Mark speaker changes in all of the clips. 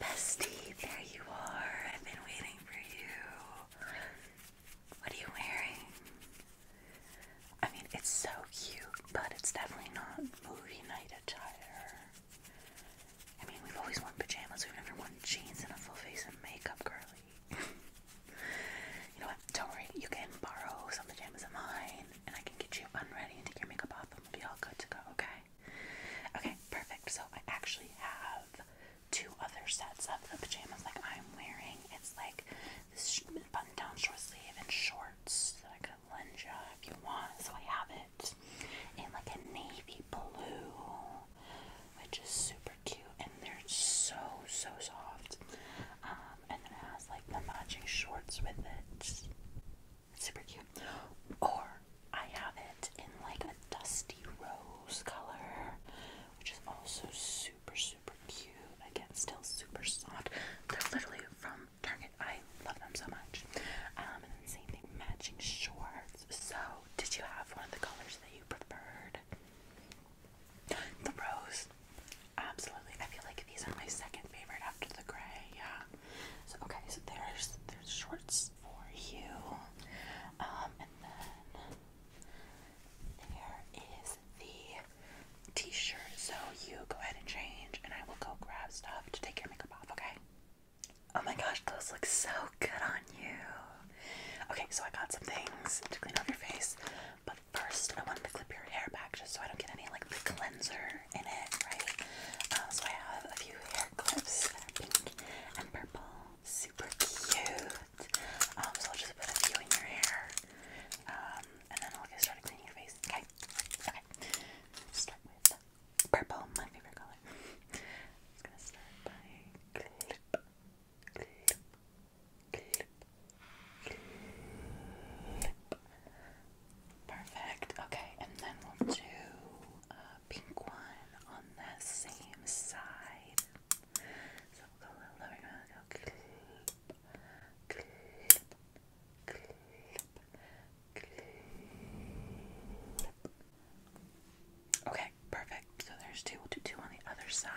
Speaker 1: Bestie, there you are. I've been waiting for you. What are you wearing? I mean, it's so cute, but it's definitely not movie night attire. I mean, we've always worn pajamas, we've never worn jeans and a full face of makeup, girly you know what? Don't worry. You can borrow some pajamas of mine, and I can get you unready and take your makeup off, and we'll be all good to go. Okay? Okay, perfect. So I actually have two other sets of pajamas like I'm wearing. It's like this button-down short sleeve and shorts that I could lend you if you want. So I have it in like a navy blue which is super cute and they're so so soft. Um, and then it has like the matching shorts with it. Super cute. Or I have it in like a dusty rose color, which is also super super cute. Again, still super soft. They're literally from Target. I love them so much. Um, and then same thing, matching shorts. So, did you have one of the colors that you preferred? The rose, absolutely. I feel like these are my second favorite after the gray. Yeah. So okay, so there's there's shorts for you, um, and then there is the t-shirt. So you go ahead and change, and I will go grab stuff to take your makeup off. Okay. Oh my gosh, those look so good on you. Okay, so I got some things to clean off your face, but first I wanted to clip your hair back just so I don't get any like the cleanser in it, right? Uh, so I have a few hair clips that are pink and purple, super cute. Um, so I'll just put a few in your hair, um, and then I'll get started cleaning your face. Okay, okay. Start with purple, my favorite color. just gonna start by clip, Perfect. Okay, and then we'll do a pink one on the same side. So we'll go a little lower. go Okay, perfect. So there's two. We'll do two on the other side.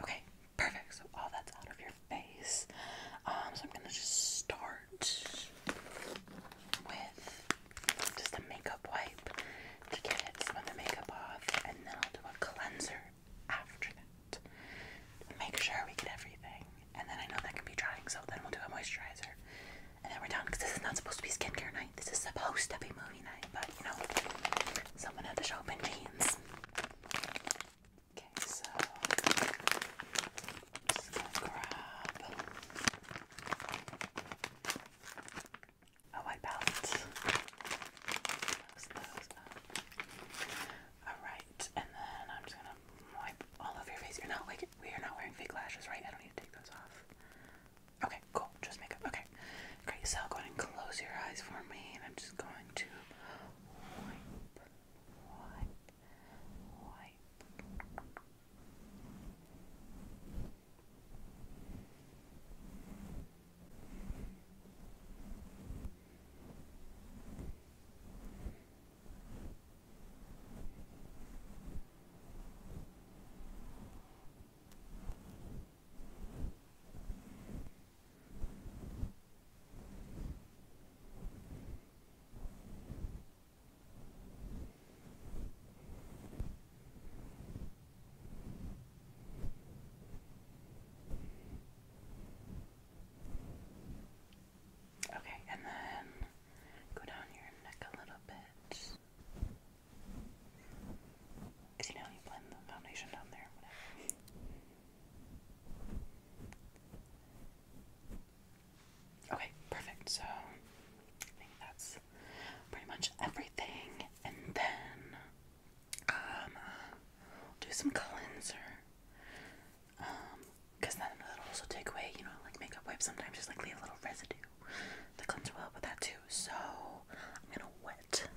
Speaker 1: Okay, perfect. So all that's out of your face. Um, so I'm gonna just start with just a makeup wipe to get some of the makeup off, and then I'll do a cleanser after that to make sure we get everything. And then I know that can be drying, so then we'll do a moisturizer, and then we're done. Because this is not supposed to be skincare night. This is supposed to be movie night, but you know, someone had to show up in jeans. Okay, so I'm just gonna grab a white palette. all right, and then I'm just gonna wipe all over your face. You're not like we are not wearing fake lashes, right? I don't need to take those off. Okay, cool. Just makeup. Okay, great. So go ahead and close your eyes for me, and I'm just going to wipe white, white. Good. Okay, and then go down your neck a little bit. Because you you blend the foundation down there, whatever. Okay, perfect. So I think that's pretty much everything. And then um do some cleanser. Um, because then it'll also take away, you know, like makeup wipes sometimes just like leave a little residue. The cleanser will help with that too. So I'm gonna wet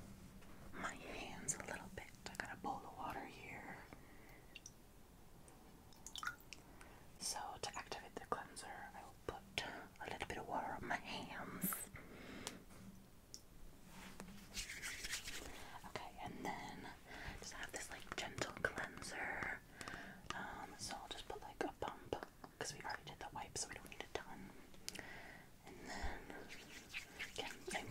Speaker 1: my hands a little bit. I got a bowl of water here. So, to activate the cleanser, I will put a little bit of water on my hands. Okay, and then just have this like gentle cleanser. Um, so I'll just put like a bump because we already did the wipe, so we don't need a ton. And then again, same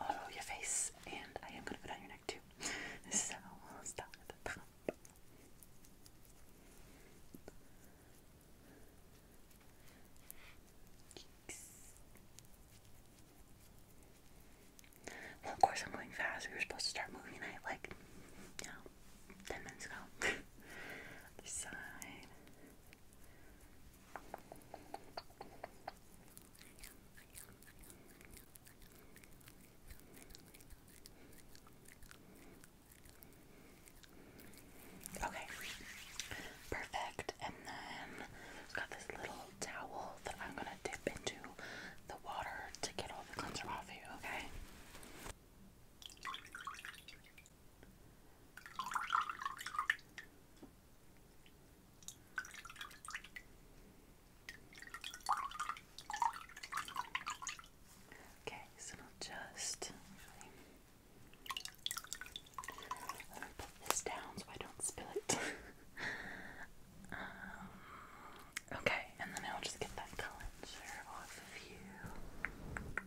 Speaker 1: all oh, over your face, and I am going to put on your neck too. So of course, I'm going fast. We were supposed to start moving at like, you 10 minutes ago. side. Okay, perfect. And then it's got this little towel that I'm gonna dip into the water to get all the cleanser off you, okay? Okay, so I'll just put this down so I don't spill it. Um, okay, and then I'll just get that cleanser off of you.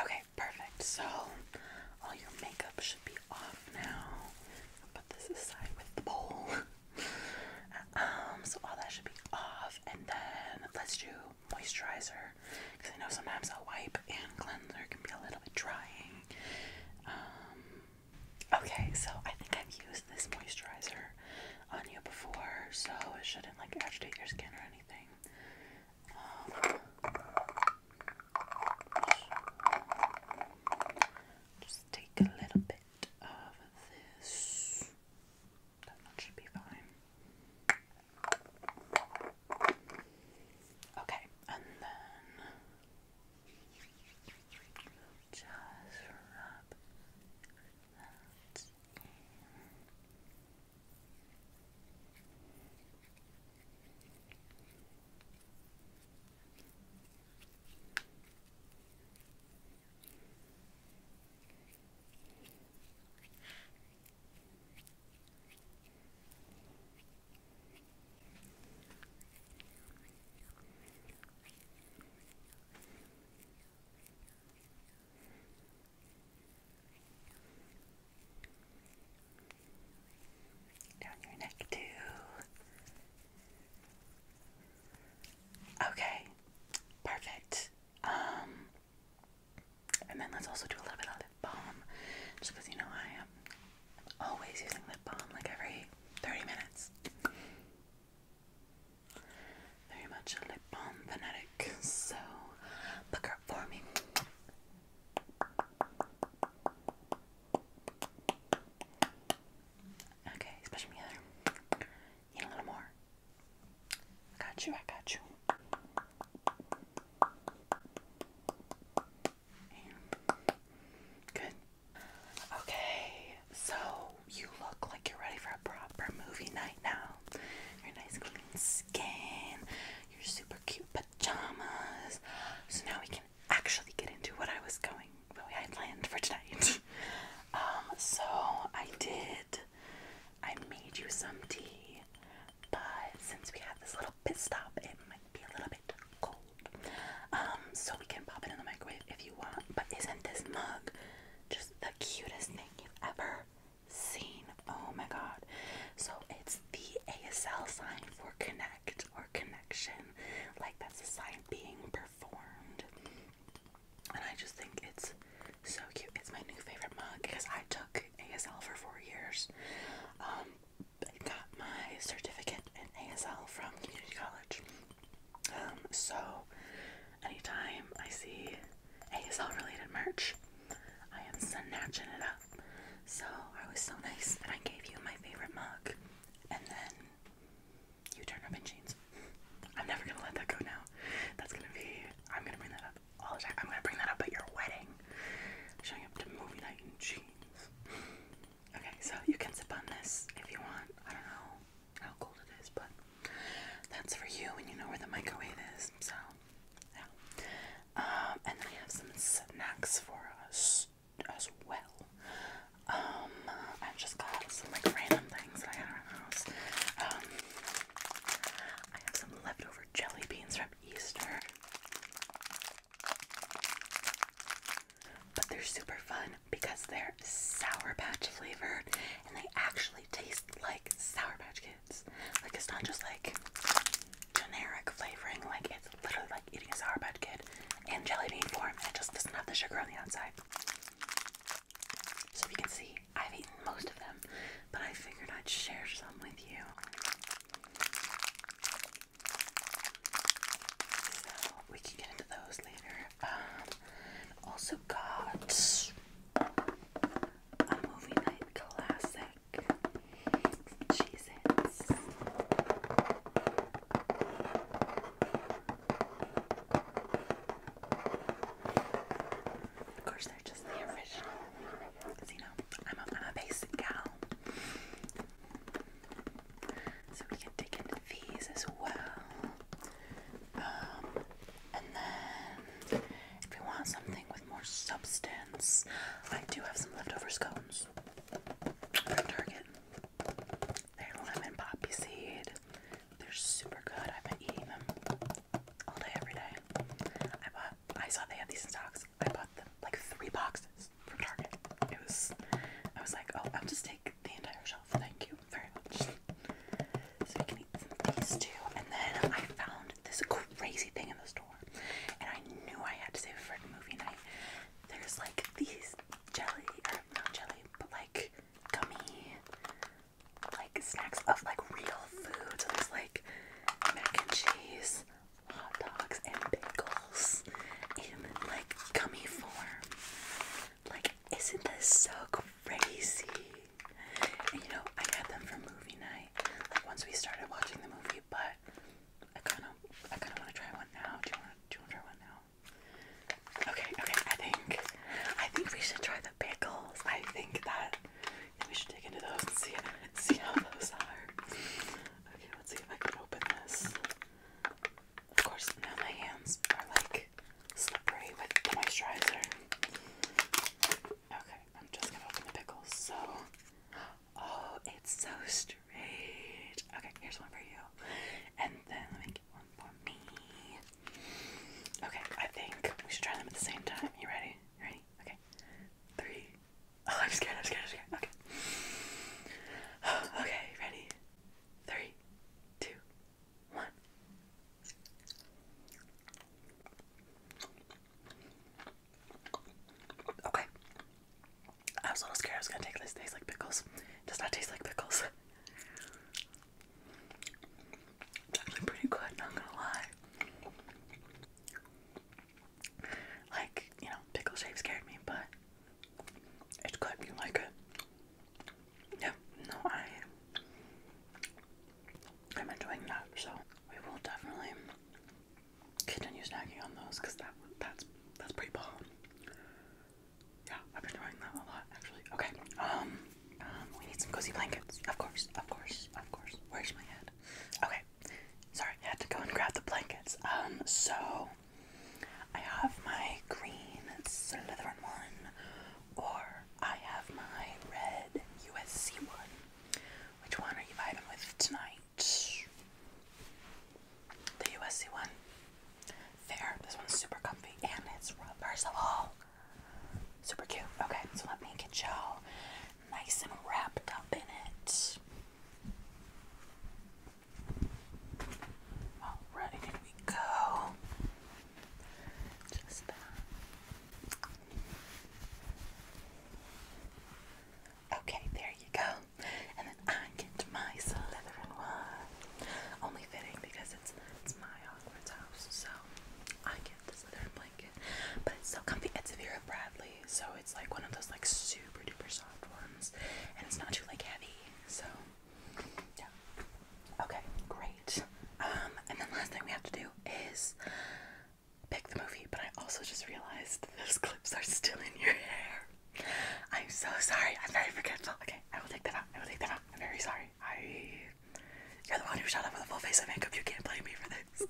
Speaker 1: Okay, perfect. So all your makeup should be off now. put this aside with the bowl. um, so all that should be off, and then let's do moisturizer because I know sometimes a wipe and cleanser can be a little bit drying. Um, Okay, so I think I've used this moisturizer on you before, so it shouldn't like agitate your skin or anything. Um, just take a little bit of this. That should be fine. Okay, and then just rub that in. Down your neck, too. Okay, perfect. Um, and then let's also do a little bit of balm, just you know I am um, I'm always using lip balm like every 30 minutes. Very much a lip balm fanatic, so look her for me. Okay, he's pushing Need a little more. I got you, I got you good. Okay, so you look like you're ready for a proper movie night now. Your nice clean skin, your super cute pajamas. So now we can actually get into what I was going, what I planned for tonight. um, so I did, I made you some tea, but since we had this little pit stop, it might be a little bit. Um, so we can pop it in the microwave if you want. But isn't this mug just the cutest thing you've ever seen? Oh my god. So it's the ASL sign for connect or connection. Like that's a sign being performed. And I just think it's so cute. It's my new favorite mug because I took ASL for four years. Um, I got my certificate in ASL from community college. Um, so anytime I see ASL related merch, I am snatching it up. So I was so nice that I gave you my favorite mug, and then you turn up in jeans. I'm never gonna let that go now. That's gonna be. I'm gonna bring that up all the time. I'm gonna bring that up at your wedding. Showing up to movie night in jeans. Okay, so you can sip on this if you want. I don't know how cold it is, but that's for you when you know where the microwave is. So, yeah. Um, and I have some snacks for us as well. Um, i just got some like random things I had around the um, I have some leftover jelly beans from Easter. But they're super fun because they're Sour Patch flavored and they actually taste like Sour Patch Kids. Like it's not just like generic flavoring, like it's literally like eating a Sour Patch Kid in jelly bean form and it just doesn't have the sugar on the outside. So if you can see, I've eaten most of them, but I figured I'd share some with you we can get into those later. Um, also got a movie night classic. Cheez Of course, they're just the original. Cause you know, i I'm a basic gal. So we can dig into these as well. Um, and then if we want something with more substance, I do have some leftover scones from Target. They're lemon poppy seed. They're super good. I've been eating them all day every day. I bought I saw they had these in stocks. I bought like three boxes from Target. It was, I was like, oh, I'll just take the entire shelf. Thank you very much. So we can eat these two. And then I found this crazy thing in the store, and I knew I had to save it for movie night. There's like these jelly, or not jelly, but like gummy, like snacks of like real food. there's like mac and cheese, hot dogs and pickles in like gummy form. Like, isn't this so crazy? you know, I had them for movie night, like once we started watching the movie, but I kinda I kinda wanna try one now. Do you wanna try one now? Okay, okay, I think I think we should try the bagels. I think that we should dig into those and see see how those are. Okay, let's see if I can open this. Of course, now my hands are like slippery with the moisturizer. Okay, I'm just gonna open the pickles. So, oh, it's so straight. Okay, here's one for you, and then let me get one for me. Okay, I think we should try them at the same time. You ready? ready? Okay, three, Oh, I'm scared, I'm scared, I'm scared. Okay. okay, ready? Three, two, one. Okay. I was a little scared I was gonna take this Tastes like pickles. does not taste like pickles. It's actually pretty good, not gonna lie. Like, you know, pickle shape scared me, but it's good. You like it? Yeah. No, I. I'm enjoying that. So we will definitely continue snacking on those because that that's that's pretty bomb. Yeah, I've been enjoying that a lot actually. Okay. Um. Um. We need some cozy blankets. Of course. Of course. Of course. Where's my head? Okay. Sorry, I had to go and grab the blankets. Um. So I have my green Slytherin one, or I have my red USC one. Which one are you vibing with tonight? The USC one. Fair. This one's super comfy and it's reversible. Super cute. Okay, so let me get y'all nice and wrapped up in it. Alright, here we go. Just that. Okay, there you go. And then I get my Slytherin one. Only fitting because it's it's my Hogwarts house, so I get the Slytherin blanket. But it's so comfy. It's Vera Bradley, so it's like one of those like super duper soft soft and it's not too like heavy. So, yeah. Okay, great. Um, and then last thing we have to do is pick the movie. But I also just realized those clips are still in your hair. I'm so sorry. I'm very forgetful. Okay, I will take that out. I will take that out. I'm very sorry. I. You're the one who shot up with a full face of makeup. You can't blame me for this.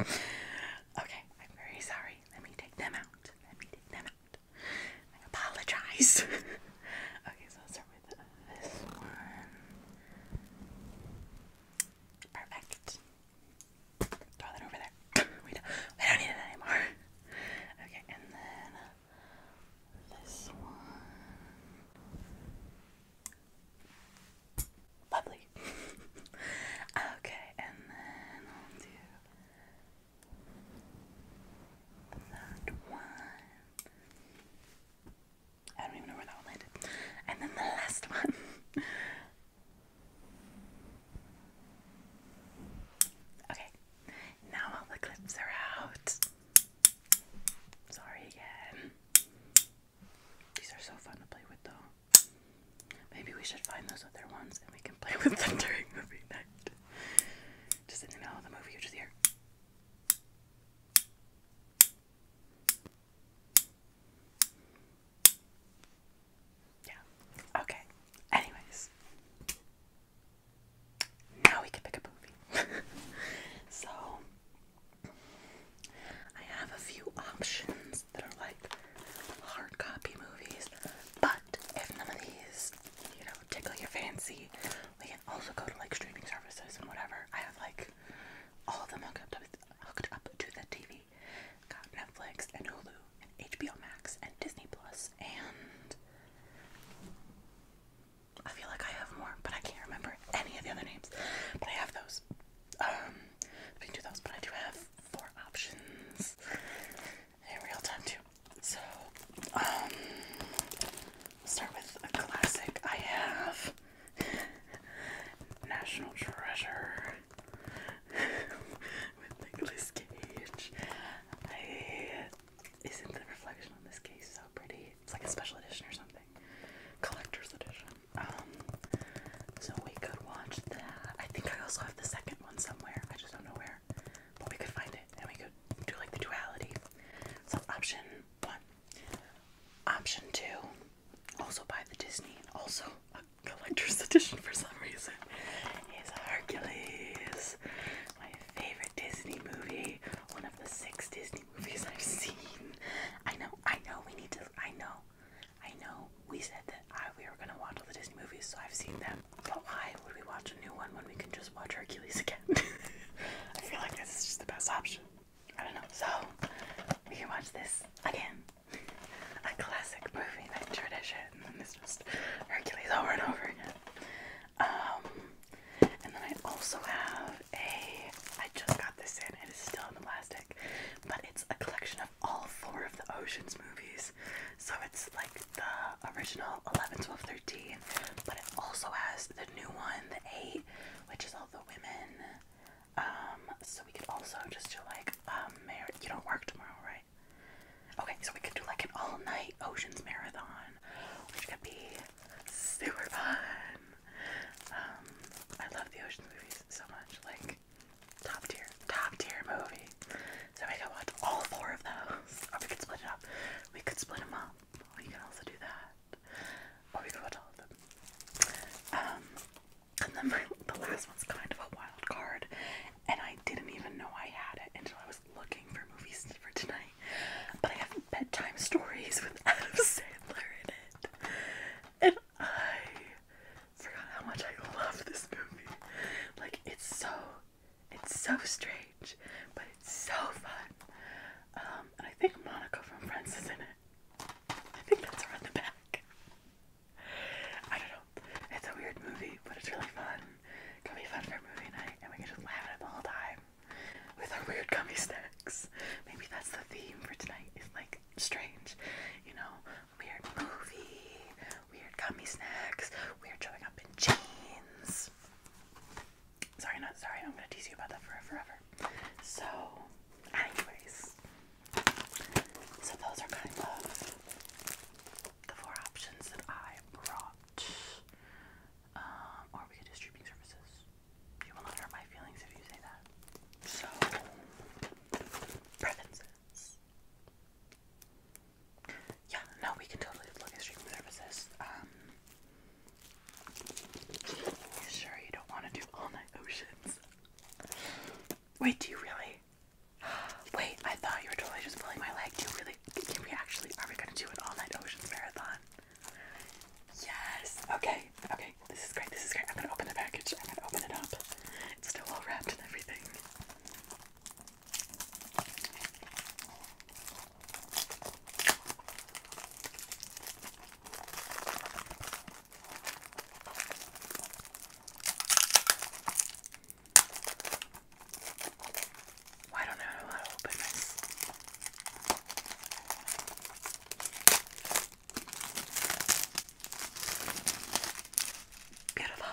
Speaker 1: okay, I'm very sorry. Let me take them out. Let me take them out. I apologize. okay, so start with this one. Perfect. Throw that over there. we, don't, we don't need it anymore. Okay, and then this one. Lovely. okay, and then that one. I don't even know where that one landed. And then the last one. okay, now all the clips are out. Sorry again. These are so fun to play with, though. Maybe we should find those other ones and we can play with them during movie night. Just in the middle of the movie, you just hear. Yeah. Okay. Anyways. Now we can pick a movie. so I have a few options that are like hard copy movies, but if none of these, you know, tickle your fancy, we can also go to like streaming services and whatever. I have like all of them hooked up to, hooked up to the TV. Got Netflix and Hulu and HBO Max and Disney Plus and I feel like I have more, but I can't remember any of the other names. But I have those. Um, we can do those, but I do have four options in real time too. So, um, start with a classic. I have National Treasure with Nicolas Cage. isn't the reflection on this case so pretty? It's like a special edition or something, collector's edition. Um, so we could watch that. I think I also have the second one somewhere. I just don't know where we could find it and we could do like the duality. So option one. Option two, also buy the Disney, also a collector's edition for some reason, is Hercules. My favorite Disney movie. One of the six Disney movies I've seen. I know, I know we need to I know. I know we said that I, we were gonna watch all the Disney movies, so I've seen them. But why would we watch a new one when we can just watch Hercules again? I feel like this is just the best option. I don't know. So we can watch this again. A classic movie night tradition. And then it's just Hercules over and over again. Um, and then I also have a. I just got this in. It is still in the plastic, but it's a collection of all four of the Ocean's movies. So it's like the original 11, 12, 13, but it also has the new one, the 8, which is all the women. Um, so we could also just do like, um, you don't work tomorrow, right? Okay, so we could do like an all night oceans marathon, which could be super fun. Um, I love the oceans movies so much, like, top tier, top tier movie. So we could watch all four of those. Or we could split it up. We could split them up. We can also do that. Or we could watch all of them. Um, and then the last one's kind of a wild card. And I didn't even know I had it until I was looking for movies for tonight. But I have bedtime stories with Adam Sandler in it. And I forgot how much I love this movie. Like, it's so it's so strange, but it's so fun. Um, and I think Monica from Friends is in it. I think that's her the back. I don't know. It's a weird movie, but it's really fun. It can be fun for movie night, and we can just laugh at it the whole time with our weird gummy snacks. Maybe that's the theme for tonight. Is like strange, you know, weird movie, weird gummy snacks, We're showing up in jeans. Sorry, not sorry, I'm gonna tease you about that for forever. So, anyways, so those are kind of the four options that I brought. Um, or we could do streaming services. You will not hurt my feelings if you say that. So, preferences. Yeah, no, we can totally look at streaming services. Um, sure you don't want to do all night oceans? Wait, do you really? Wait, I thought you were totally just pulling my leg. Do you really? Can we actually? Are we gonna do an all night oceans marathon? Yes. Okay. Okay. This is great. This is great. I'm gonna open the package. I'm gonna open it up. It's still all wrapped and everything. Well, I don't know how to open this. Beautiful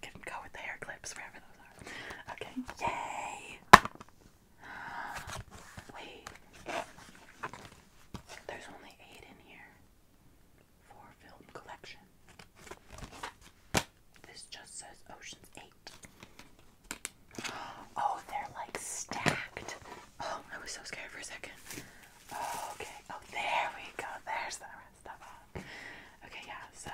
Speaker 1: can go with the hair clips, wherever those are. Okay, yay! Wait, there's only eight in here for film collection. This just says Ocean's Eight. Oh, they're like stacked. Oh, I was so scared for a second. Okay, oh, there we go. There's that Okay, yeah, so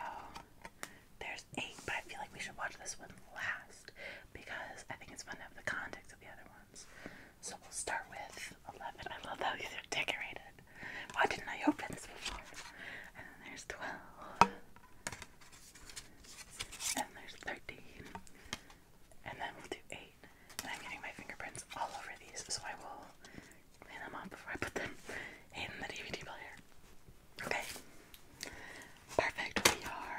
Speaker 1: there's eight, but I feel like we should watch this one last because I think it's fun to have the context of the other ones. So we'll start with 11. I love how these are decorated. Why didn't I open this before? And then there's 12. And there's 13. And then we'll do 8. And I'm getting my fingerprints all over these, so I will clean them up before I put them in the DVD player. Okay. Perfect. We are.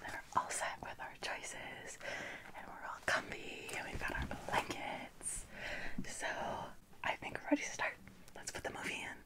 Speaker 1: We're all set with our choices, and we're all comfy, and we've got our blankets. So I think we're ready to start. Let's put the movie in.